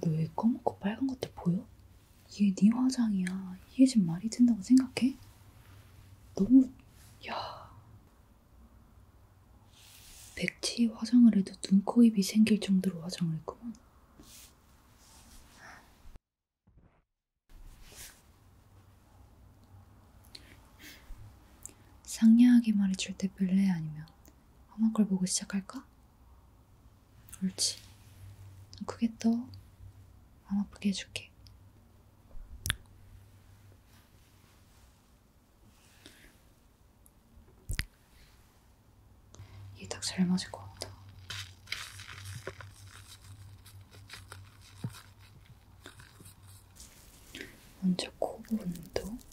너 왜 검고 빨간 것들 보여? 이게 네 화장이야. 이게 지금 말이 된다고 생각해? 너무... 야... 백치 화장을 해도 눈, 코, 입이 생길 정도로 화장을 했구만. 상냥하게 말해줄 때 별래 아니면 엄마 걸 보고 시작할까? 옳지. 크게 떠. 안 아프게 해줄게. 이게 딱 잘 맞을 것 같다. 먼저 코 부분도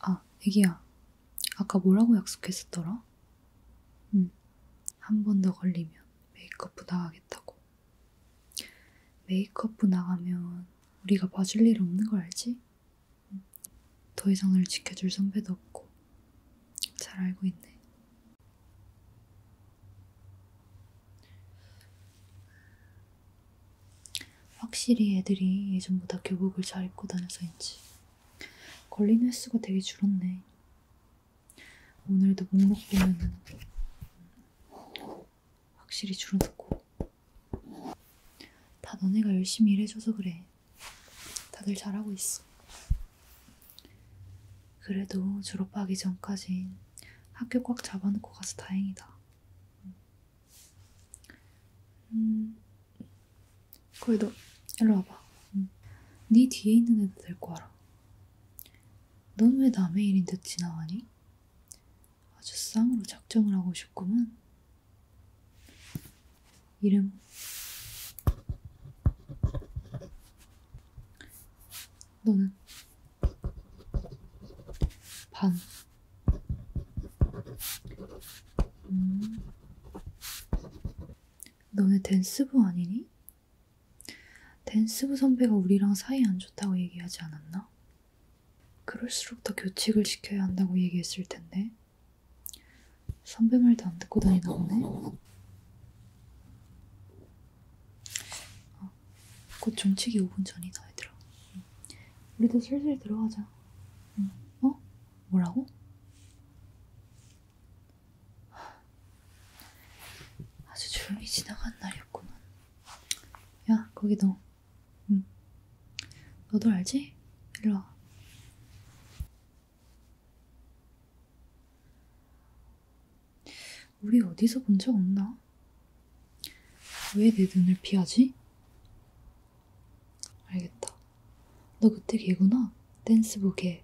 아, 애기야. 아까 뭐라고 약속했었더라? 응. 한 번 더 걸리면 메이크업부 나가겠다고. 메이크업부 나가면 우리가 봐줄 일 없는 거 알지? 더 이상 을 지켜줄 선배도 없고 잘 알고 있네. 확실히 애들이 예전보다 교복을 잘 입고 다녀서인지 걸린 횟수가 되게 줄었네. 오늘도 목록 보면은 확실히 줄어들고 다 너네가 열심히 일해줘서 그래. 다들 잘하고 있어. 그래도 졸업하기 전까진 학교 꽉 잡아놓고 가서 다행이다. 음, 거기 너 일로 와봐. 응. 음. 네 뒤에 있는 애도 데리고 와라. 넌왜 남의 일인데 지나가니? 아주 쌍으로 작정을 하고 싶구만. 이름 너는 반 음. 너네 댄스부 아니니? 댄스부 선배가 우리랑 사이 안 좋다고 얘기하지 않았나? 그럴수록 더 교칙을 지켜야 한다고 얘기했을 텐데. 선배 말도 안 듣고 다니다 보네. 어, 곧 종치기 5분 전이다, 얘들아. 응. 우리도 슬슬 들어가자. 응. 어? 뭐라고? 아주 조용히 지나간 날이었구만. 야, 거기 너 응. 음. 너도 알지? 일로 와. 우리 어디서 본 적 없나? 왜 내 눈을 피하지? 알겠다. 너 그때 걔구나? 댄스부 걔.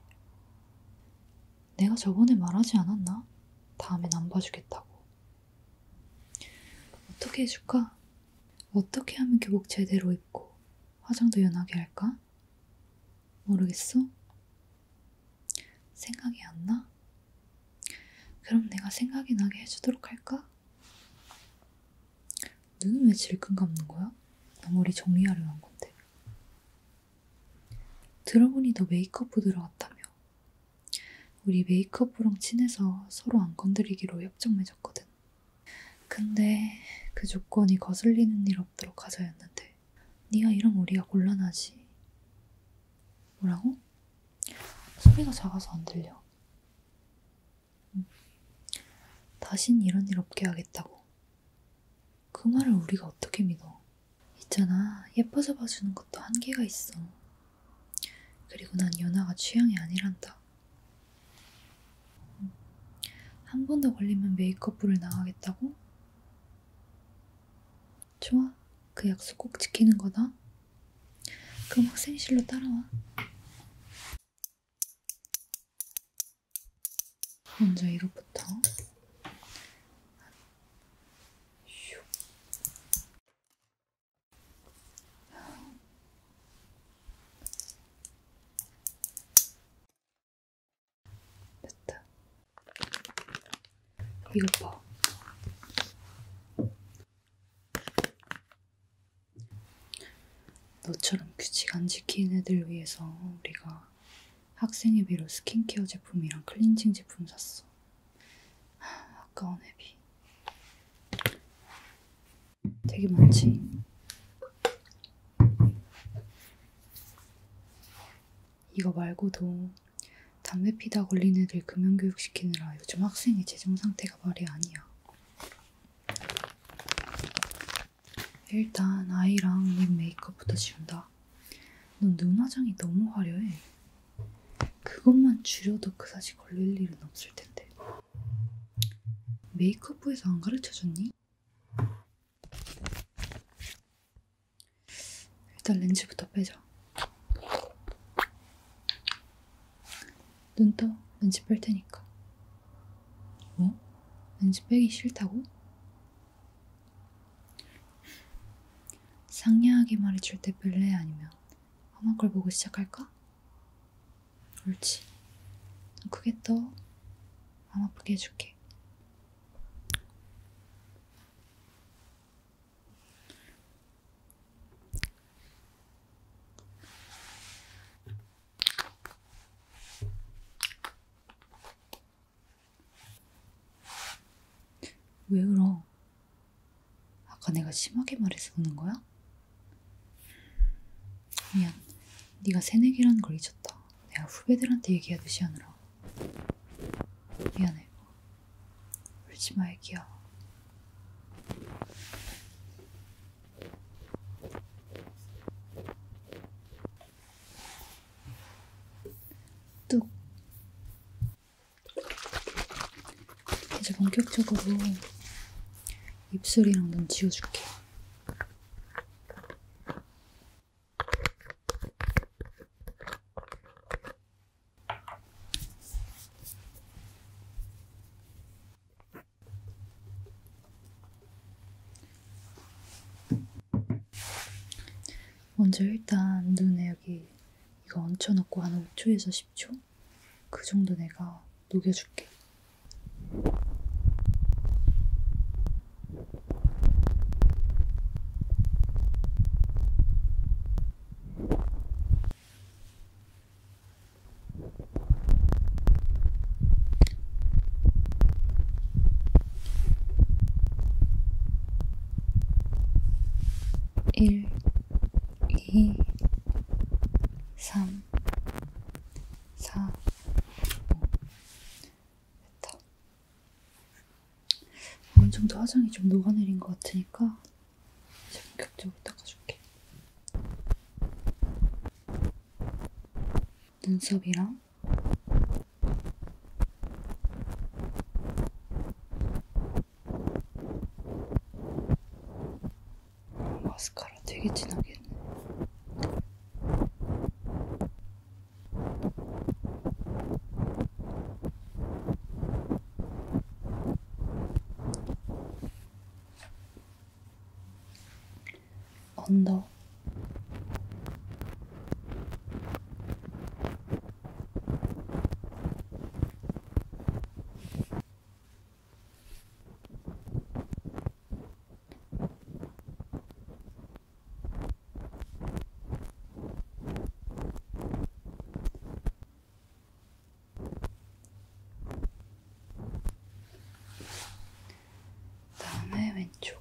내가 저번에 말하지 않았나? 다음엔 안 봐주겠다고. 어떻게 해줄까? 어떻게 하면 교복 제대로 입고 화장도 연하게 할까? 모르겠어? 생각이 안 나? 그럼 내가 생각이 나게 해주도록 할까? 눈은 왜 질끈 감는 거야? 나 머리 정리하려 한 건데. 들어보니 너 메이크업부 들어갔다며. 우리 메이크업부랑 친해서 서로 안 건드리기로 협정 맺었거든. 근데 그 조건이 거슬리는 일 없도록 하자였는데 네가 이러면 우리가 곤란하지. 뭐라고? 소리가 작아서 안 들려. 음. 다신 이런 일 없게 하겠다고. 그 말을 우리가 어떻게 믿어? 있잖아, 예뻐서 봐주는 것도 한계가 있어. 그리고 난 연아가 취향이 아니란다. 한번더 걸리면 메이크업부를 나가겠다고? 좋아, 그 약속 꼭 지키는 거다. 그럼 학생실로 따라와. 먼저 이것부터. 됐다. 이거 봐. 너처럼 규칙 안 지키는 애들 위해서 우리가 학생회비로 스킨케어 제품이랑 클렌징 제품 샀어. 아까운 회비. 되게 많지. 이거 말고도 담배 피다 걸린 애들 금연교육 시키느라 요즘 학생의 재정 상태가 말이 아니야. 일단 아이랑 립 메이크업부터 지운다. 넌 눈화장이 너무 화려해. 그것만 줄여도 그다지 걸릴 일은 없을 텐데. 메이크업부에서 안 가르쳐줬니? 일단 렌즈부터 빼자. 눈 떠. 렌즈 뺄 테니까. 뭐? 렌즈 빼기 싫다고? 상냥하게 말해줄 때 뺄래? 아니면 험한 걸 보고 시작할까? 옳지. 크게 떠. 안 아프게 해줄게. 왜 울어? 아까 내가 심하게 말해서 우는 거야? 미안, 네가 새내기라는 걸 잊었다. 내가 후배들한테 얘기하듯이 하느라. 미안해. 울지 마, 애기야. 뚝. 이제 본격적으로 입술이랑 눈 지워줄게요. 먼저 일단 눈에 여기 이거 얹혀놓고 한 5초에서 10초? 그 정도 내가 녹여줄게. 일, 이, 삼, 3, 4, 5 됐다. 어느 정도 화장이 좀 녹아내린 것 같으니까 이제 본격적으로 닦아줄게. 눈썹이랑 마스카라 되게 진하게 했네. 언더 다음에 왼쪽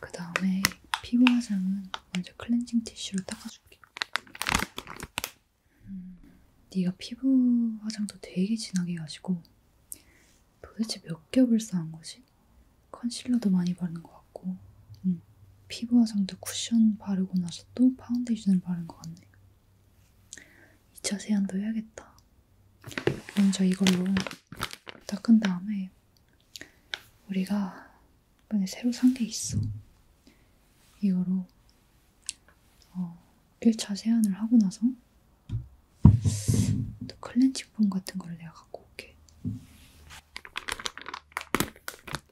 그 다음에 피부 화장은 먼저 클렌징 티슈로 닦아줄게. 음, 네가 피부 화장도 되게 진하게 가지고 도대체 몇 겹을 쌓은 거지? 컨실러도 많이 바른 것 같고 음. 피부와 상대 쿠션 바르고 나서 또 파운데이션을 바른 것 같네 2차 세안도 해야겠다 먼저 이걸로 닦은 다음에 우리가 이번에 새로 산 게 있어 이거로 어, 1차 세안을 하고 나서 또 클렌징 폼 같은 걸 내가 갖고 올게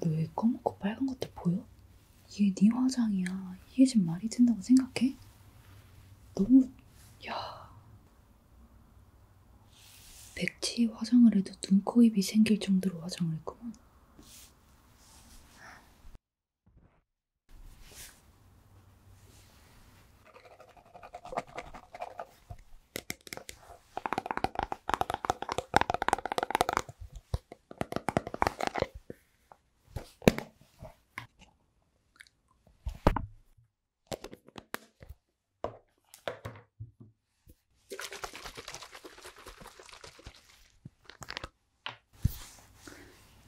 너왜 검은고 빨간 것들 보여? 이게 네 화장이야. 이게 지금 말이 된다고 생각해? 너무 야 백치 화장을 해도 눈, 코, 입이 생길 정도로 화장을 했구만.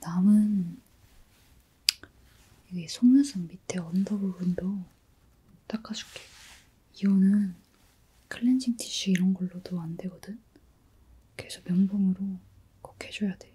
남은 여기 속눈썹 밑에 언더 부분도 닦아줄게. 이거는 클렌징 티슈 이런 걸로도 안 되거든? 그래서 면봉으로 꼭 해줘야 돼.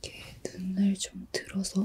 이렇게 눈을 좀 들어서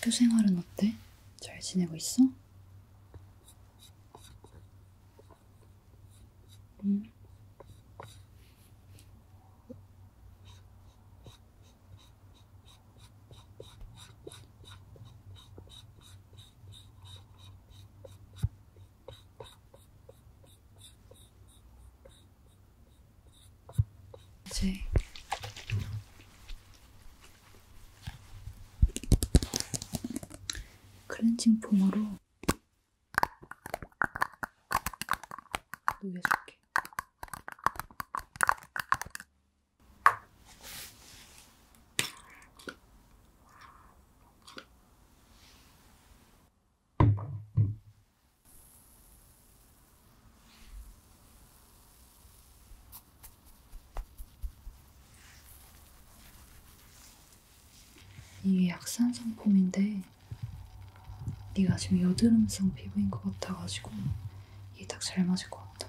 학교 생활은 어때? 잘 지내고 있어? 응. 이제 클렌징 폼으로 녹여줄게. 이게 약산 상품인데 네가 지금 여드름성 피부인 것 같아가지고 이게 딱 잘 맞을 것 같아.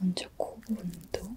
먼저 코 부분도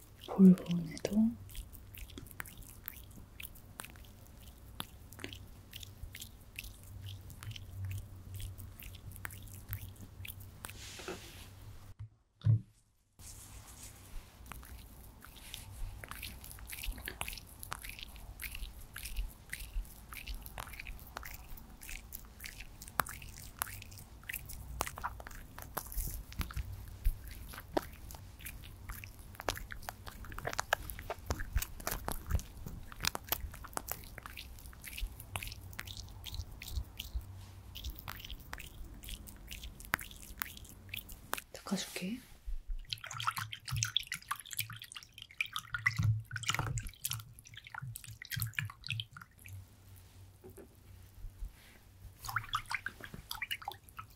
볼본에도 닦아줄게.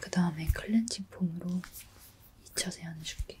그 다음에 클렌징 폼으로 2차 세안해 줄게.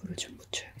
물을 좀 묻혀야겠다.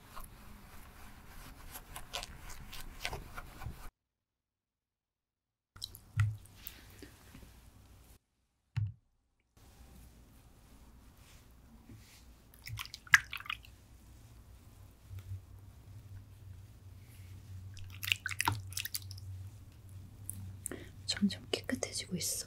점점 깨끗해지고 있어.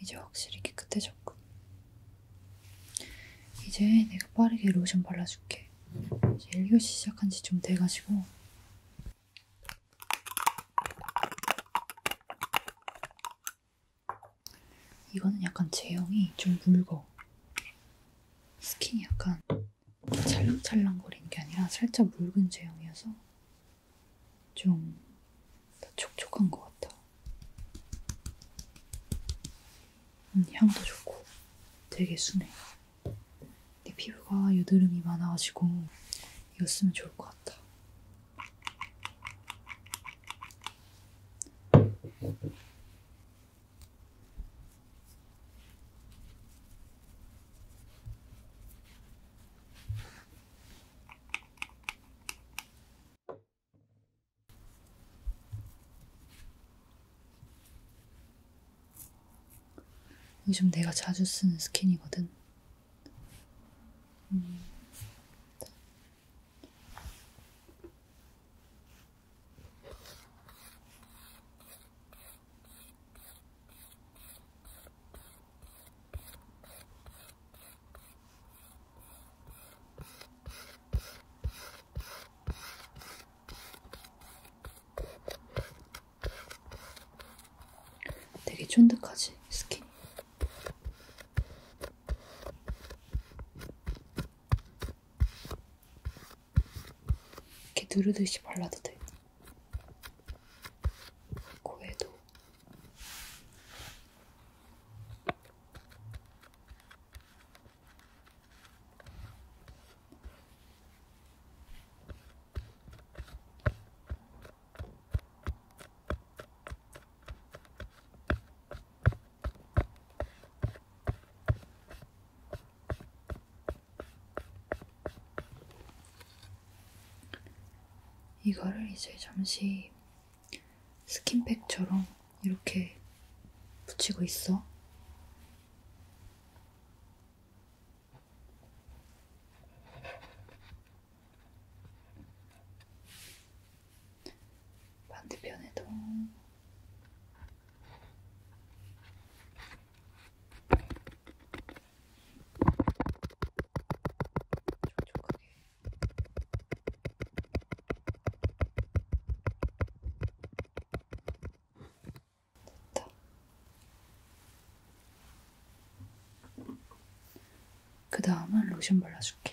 이제 확실히 깨끗해졌고 이제 내가 빠르게 로션 발라줄게 이제 1교시 시작한 지좀 돼가지고 이거는 약간 제형이 좀 묽어 스킨이 약간 찰랑찰랑거리는 게 아니라 살짝 묽은 제형이어서 좀 더 촉촉한 것 같아. 음, 향도 좋고 되게 순해. 내 피부가 여드름이 많아가지고 이거 쓰면 좋을 것 같아. 요즘 내가 자주 쓰는 스킨이거든. 음. 되게 쫀득하지, 스킨. 이렇게 누르듯이 발라도 돼요. 코에도. 이거를 이제 잠시 스킨팩처럼 이렇게 붙이고 있어. 반대편에도 촉촉하게 됐다. 그 다음은 로션 발라줄게.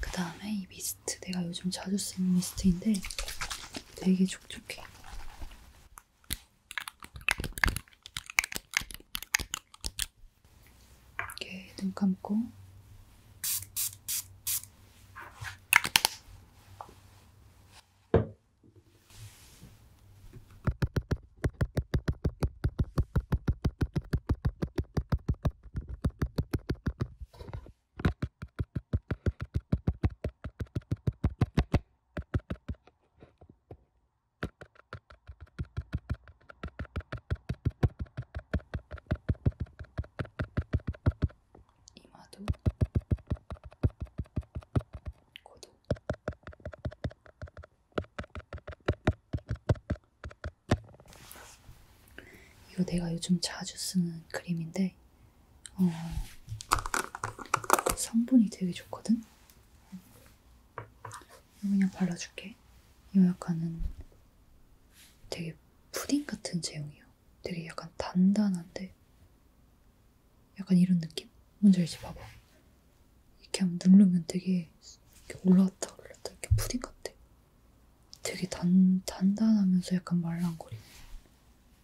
그 다음에 이 미스트, 내가 요즘 자주 쓰는 미스트인데 되게 촉촉해. 이렇게 눈 감고 이마도 고도 이거 내가 요즘 자주 쓰는 그림인데 어, 성분이 되게 좋거든? 이거 그냥 발라줄게. 이거 약간은 되게 푸딩 같은 제형이에요. 되게 약간 단단한데 약간 이런 느낌? 뭔지 알지? 봐봐. 이렇게 한번 누르면 되게 이렇게 올라왔다 올라왔다 이렇게 푸딩 같아. 되게 단, 단단하면서 약간 말랑거리는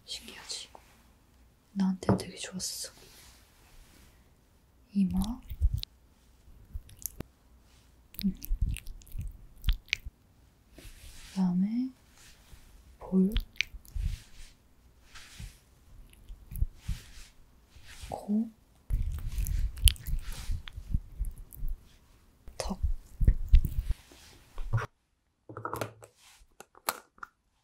신기하지? 나한테 되게 좋았어. 이마. 음. 그다음에 볼. 코. 턱.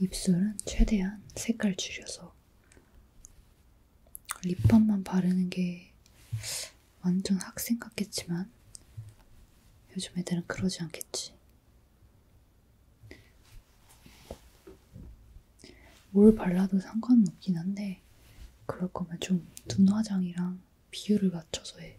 입술은 최대한 색깔 줄여서 립밤만 바르는 게 완전 학생 같겠지만 요즘 애들은 그러지 않겠지. 뭘 발라도 상관은 없긴 한데 그럴 거면 좀 눈화장이랑 비율을 맞춰서 해.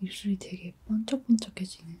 입술이 되게 번쩍번쩍해지는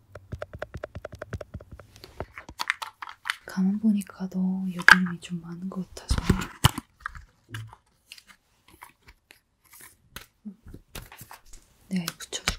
가만 보니까 너 여드름이 좀 많은 것 같아서 내가 네, 이 붙여줄게.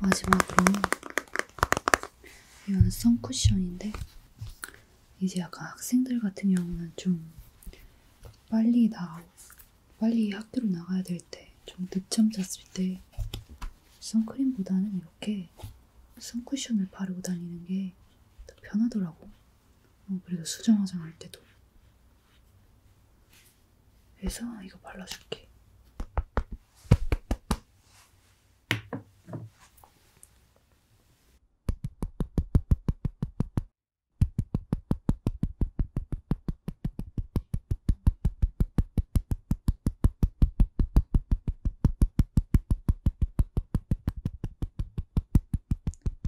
마지막으로 이건 선쿠션인데 이제 약간 학생들 같은 경우는 좀 빨리 나 빨리 학교로 나가야 될 때 좀 늦잠 잤을 때 선크림보다는 이렇게 선쿠션을 바르고 다니는 게 더 편하더라고. 어, 그래도 수정 화장할 때도 그래서 이거 발라줄게.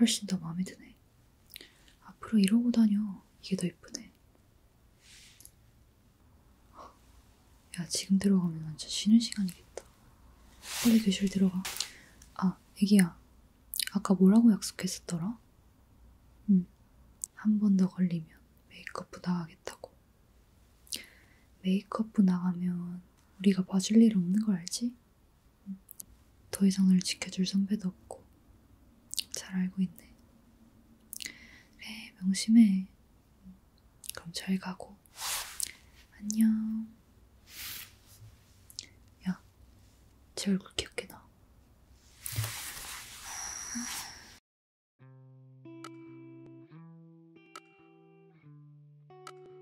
훨씬 더 마음에 드네. 앞으로 이러고 다녀. 이게 더 예쁘네. 야, 지금 들어가면 완전 쉬는 시간이겠다. 빨리 교실 들어가. 아, 애기야. 아까 뭐라고 약속했었더라? 응. 한 번 더 걸리면 메이크업부 나가겠다고. 메이크업부 나가면 우리가 봐줄 일 없는 거 알지? 더 이상 널 지켜줄 선배도 없고 잘 알고 있네. 그래 명심해. 그럼 잘 가고 안녕. 야, 제 얼굴 귀엽게 나.